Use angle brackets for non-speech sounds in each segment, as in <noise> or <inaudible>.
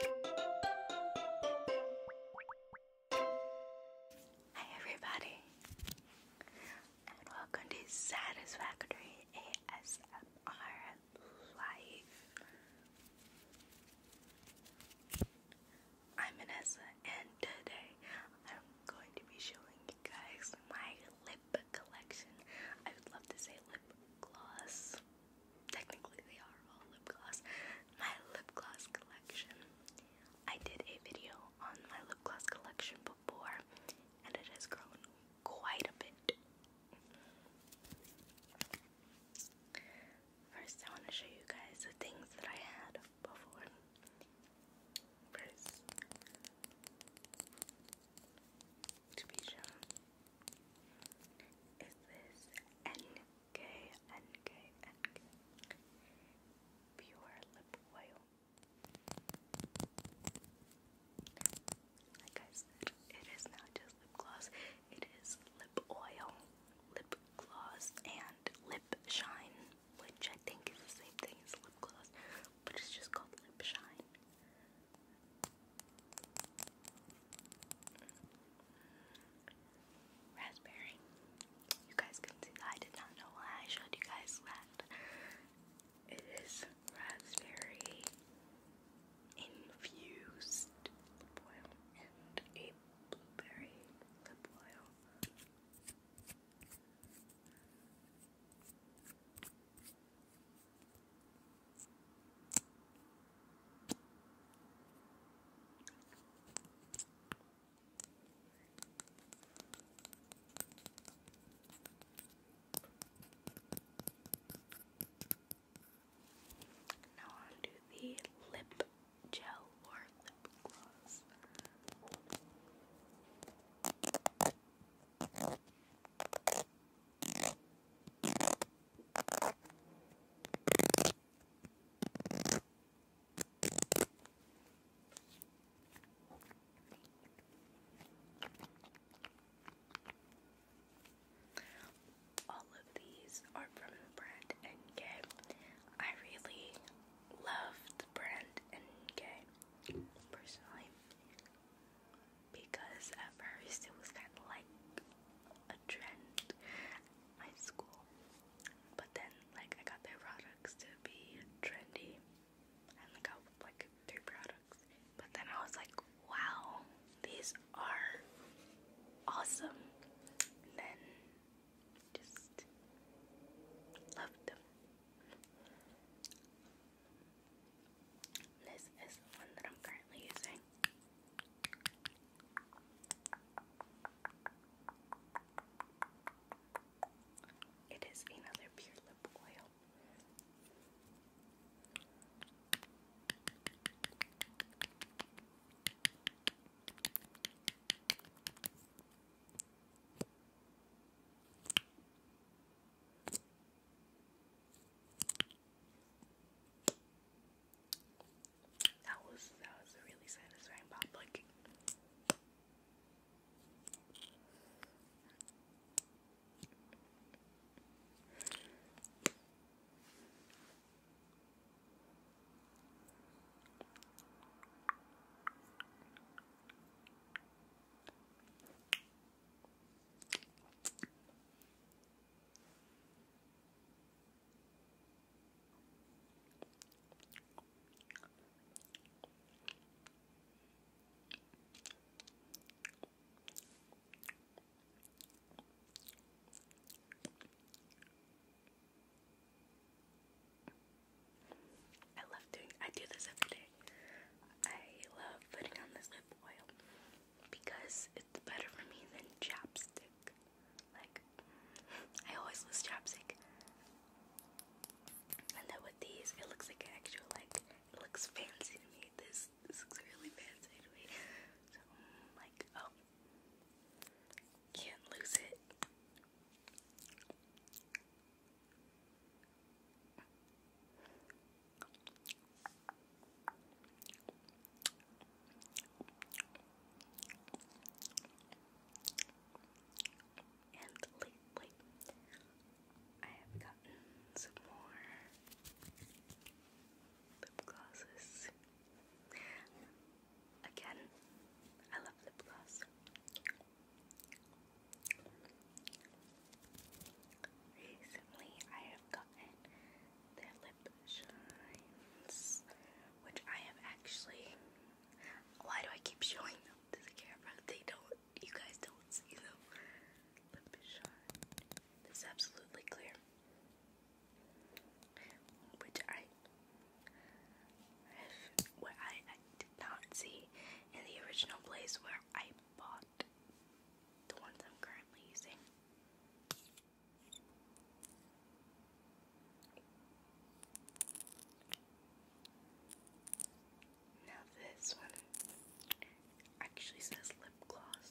Hi everybody and welcome to Satisfactory ASMR Live. I'm Vanessa and today I'm going to be showing you guys my lip collection. I would love to say lip gloss. Technically, they are all lip gloss. My lip gloss collection. I did a video on my lip gloss collection before, and it has grown quite a bit. First, I want to show you guys the things that I had before. First, to be shown. Is this Pure Lip Oil? Like I said, it is not just lip gloss, it is lip oil, lip gloss, and lip shine, which I think is the same thing as lip gloss, but it's just called lip shine. Raspberry. You guys can see that. did not know why I showed you guys that. It is raspberry infused lip oil and a blueberry lip oil. Now on the lip gel or lip gloss. All of these are from Brand and really love the Brand and personally because at first it was kind of like a trend at school, but then like I got their products to be trendy, and I got like three products, but then I was like, wow, these are awesome, then just loved them. This is the one that I'm currently using. It is another pure lip oil. That was that was really satisfying pop like I love doing I do this every day. I love putting on this lip oil because it's better for me than chapstick. Like, <laughs> I always lose chapstick. And then with these, it looks like an actual, like, it looks fancy to me. This, looks really fancy to me. So, like, oh, can't lose it. And lately, I have gotten some more lip glosses. Again, I love lip gloss. Recently, I have gotten the lip shines, which I have actually. Why do I keep <laughs> showing them to the camera? They don't. You guys don't see them. Lip shine. This absolutely clear. Which I. What I did in the original place where I bought the ones I'm currently using. Now this one actually says lip gloss.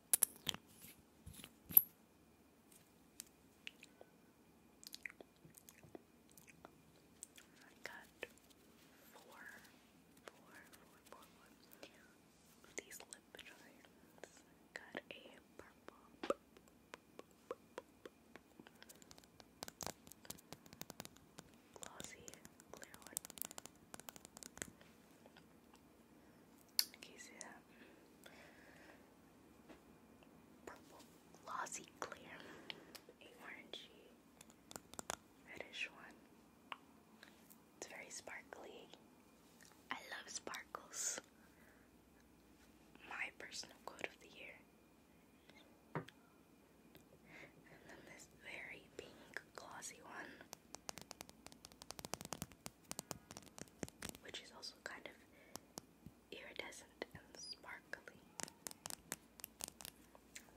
I got four, four, four, four, four these lip charms. Got a purple, glossy, clear one. Can see that? Purple, glossy, clear, orangey, reddish one. It's very sparkly. I love sparkles. My personal quote of the year. And then this very pink glossy one, which is also kind of iridescent and sparkly,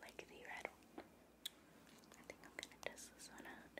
like the red one. I think I'm gonna test this one out.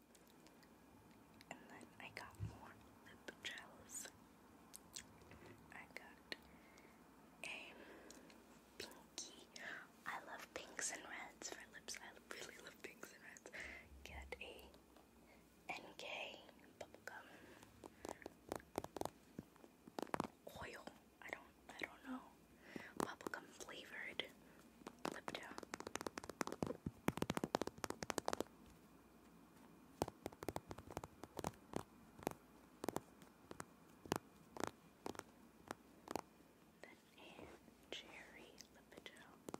And then I got more lip gels. I got a pinky. I love pinks and reds for lips. I really love pinks and reds. Get a bubblegum oil. I don't I don't know. Bubblegum flavored lip gel and cherry lip gel.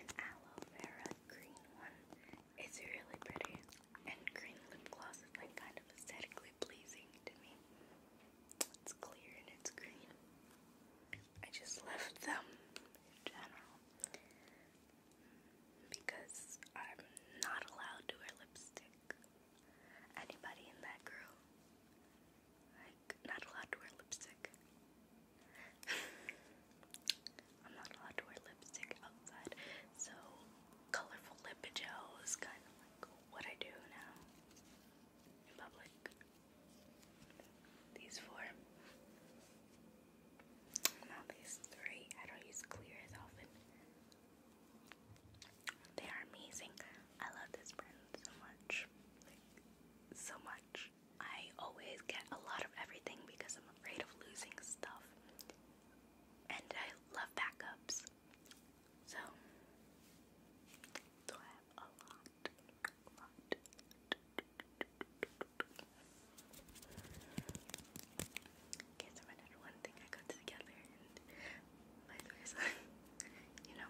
an aloe vera green one. It's really pretty. And green lip gloss is like kind of aesthetically pleasing to me. It's clear and it's green. I just left <laughs> them because I'm not allowed to wear lipstick. Anybody in that group? like not allowed to wear lipstick. <laughs> I'm not allowed to wear lipstick outside, so colorful lip gel kind of like what I do now in public. These four. Now these three. I don't use clear as often. They are amazing. I love this brand so much. so much. I always get a lot of everything because I'm afraid of losing stuff. And I love backups. So, so I have a lot. lot. Okay, so another one thing I got together and vice versa. <laughs> you know?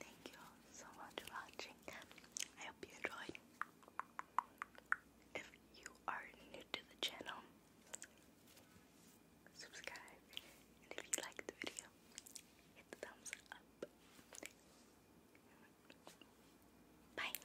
Thank you so much for watching. I hope you enjoyed. If you are new to the channel, subscribe. And if you like the video, hit the thumbs up. Bye.